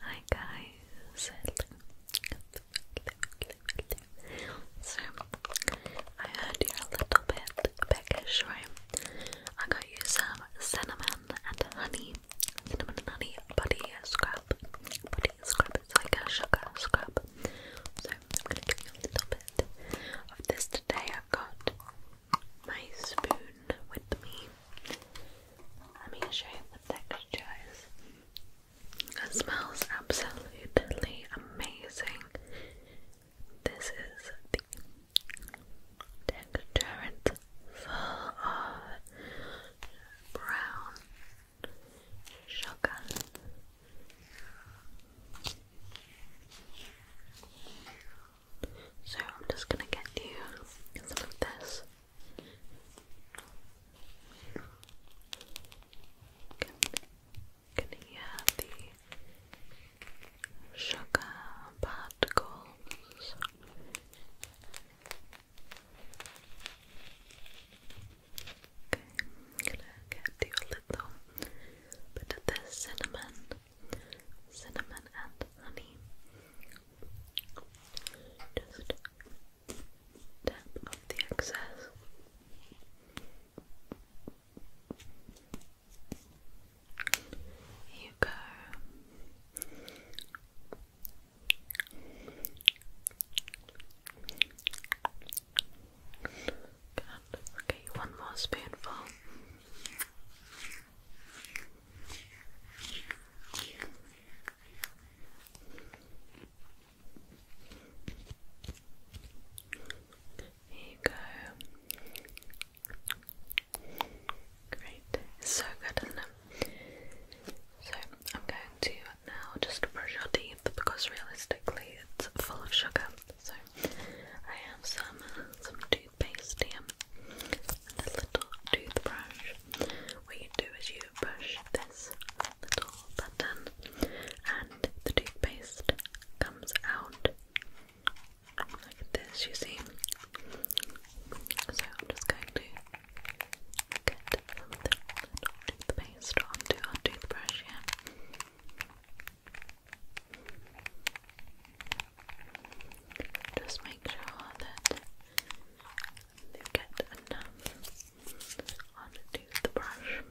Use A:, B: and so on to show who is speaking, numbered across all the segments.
A: Hi guys! So, I heard you're a little bit peckish, right? I got you some cinnamon and honey, cinnamon and honey body scrub, body scrub, it's like a sugar scrub. So, I'm gonna give you a little bit of this today. I've got my spoon with me. Let me show you the textures. It smells absolutely amazing.
B: This is the texture. full of brown sugar. So I'm just gonna
A: get you some of this. Can, can you the sugar particles? Okay, gonna get you little bit of this cinnamon cinnamon and honey. Just tap off the excess. you go. Okay, one more spoonful. There you go. Great. so good, isn't it? So I'm going to now just brush your teeth because realistically it's full of sugar. So I have some some toothpaste here and a little toothbrush. What you do is you push this little button and the toothpaste comes out like this, you see. So I'm just going to get some toothpaste onto our toothbrush here. Just make sure that you get enough onto the brush. Okay.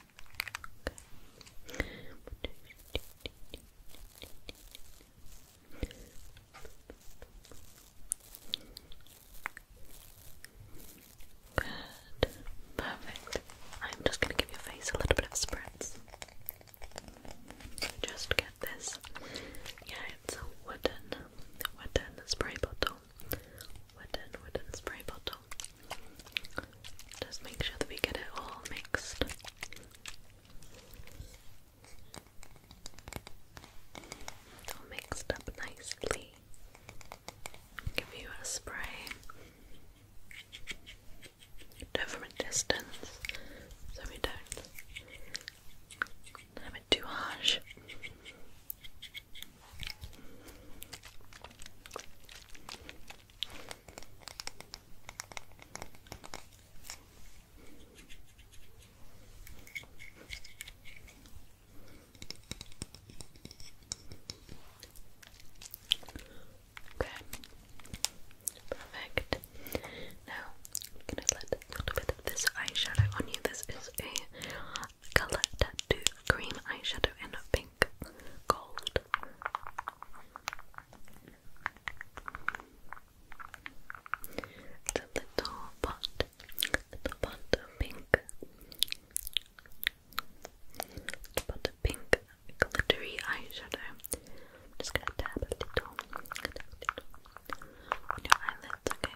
B: Good. Perfect. I'm just going to give your face a little bit of spritz. Just get this. Yeah, it's a wooden, wooden spray bottle. Wooden, wooden spray bottle just make sure that we get it all mixed.
A: All mixed up nicely. Give you a spray. Do from a distance so we don't have it too harsh. Okay, perfect. Now, I'm gonna let a little bit of this eyeshadow on you. This is a color tattoo green eyeshadow in pink gold. It's a little pot, little pot of pink,
B: little pot of pink glittery eyeshadow. I'm just gonna dab a dab a little on your eyelids, okay?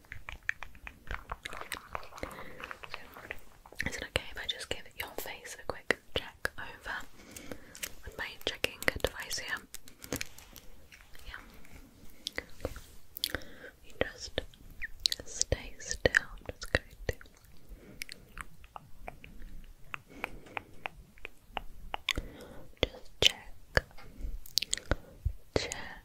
B: So, is it okay if I just give your face a
A: quick check over with my checking device here? Yeah. Okay. just stay still. just going Just check, check,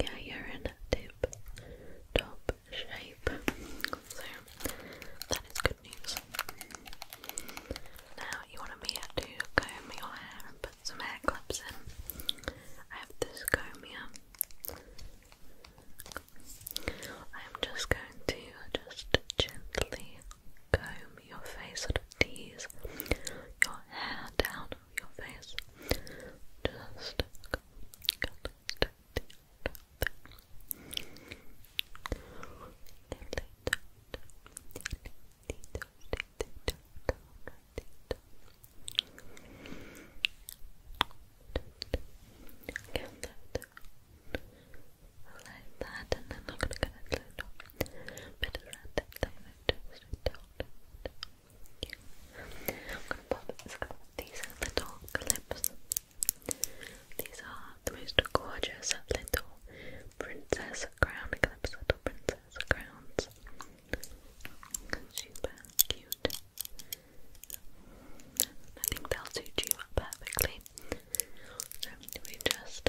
A: Yeah, you're in a tip top shape. So that is good news. Now you want me to comb your hair and put some hair clips in. I have this comb here. I'm just going to just gently comb your face, sort of tease your hair down your face. Just like that, and then I'm gonna get a little bit of that that These are little clips. These are the most gorgeous little princess crown clips, little princess crowns. Super cute. I think they'll suit you up perfectly. So we just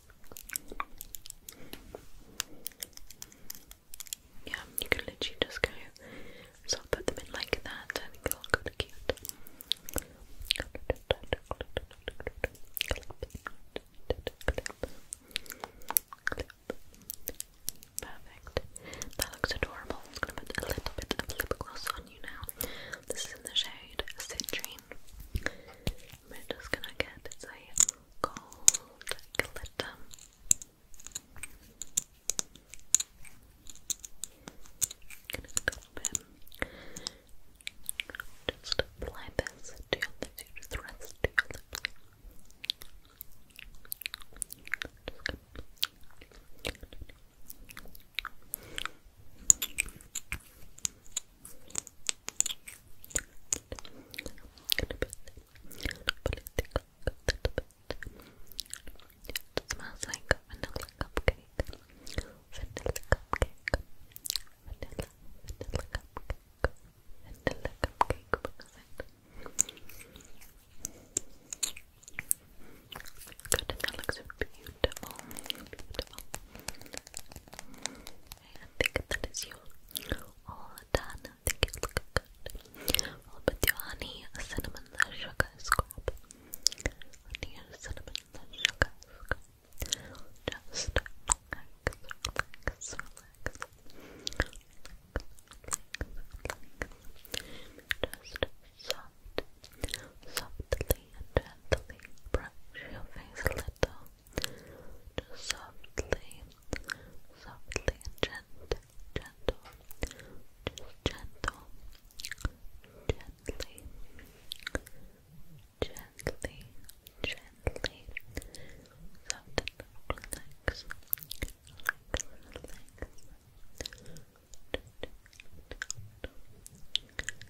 A: Yeah, you can literally just go sort of put them in like that and it'll look kind cute. Perfect. That looks adorable. I'm gonna put a little bit of lip gloss on you now. This is in the shade Citrine. I'm just gonna get it's a gold glitter. Gonna bit. Just apply this to your lips, you just rest to your lips. It smells like vanilla cupcake. Vanilla cupcake. Vanilla, vanilla cupcake. Vanilla cupcake. it? looks beautiful. Beautiful. I think that is you all done. I think it's looking good. We'll put your honey, cinnamon, sugar scrub. Honey, cinnamon, sugar scrub. Just relax, relax, relax, relax, relax. Just soft, softly and gently brush your face little. Just softly, softly and gentle, gentle, just gentle, gently, gently, gently, soft and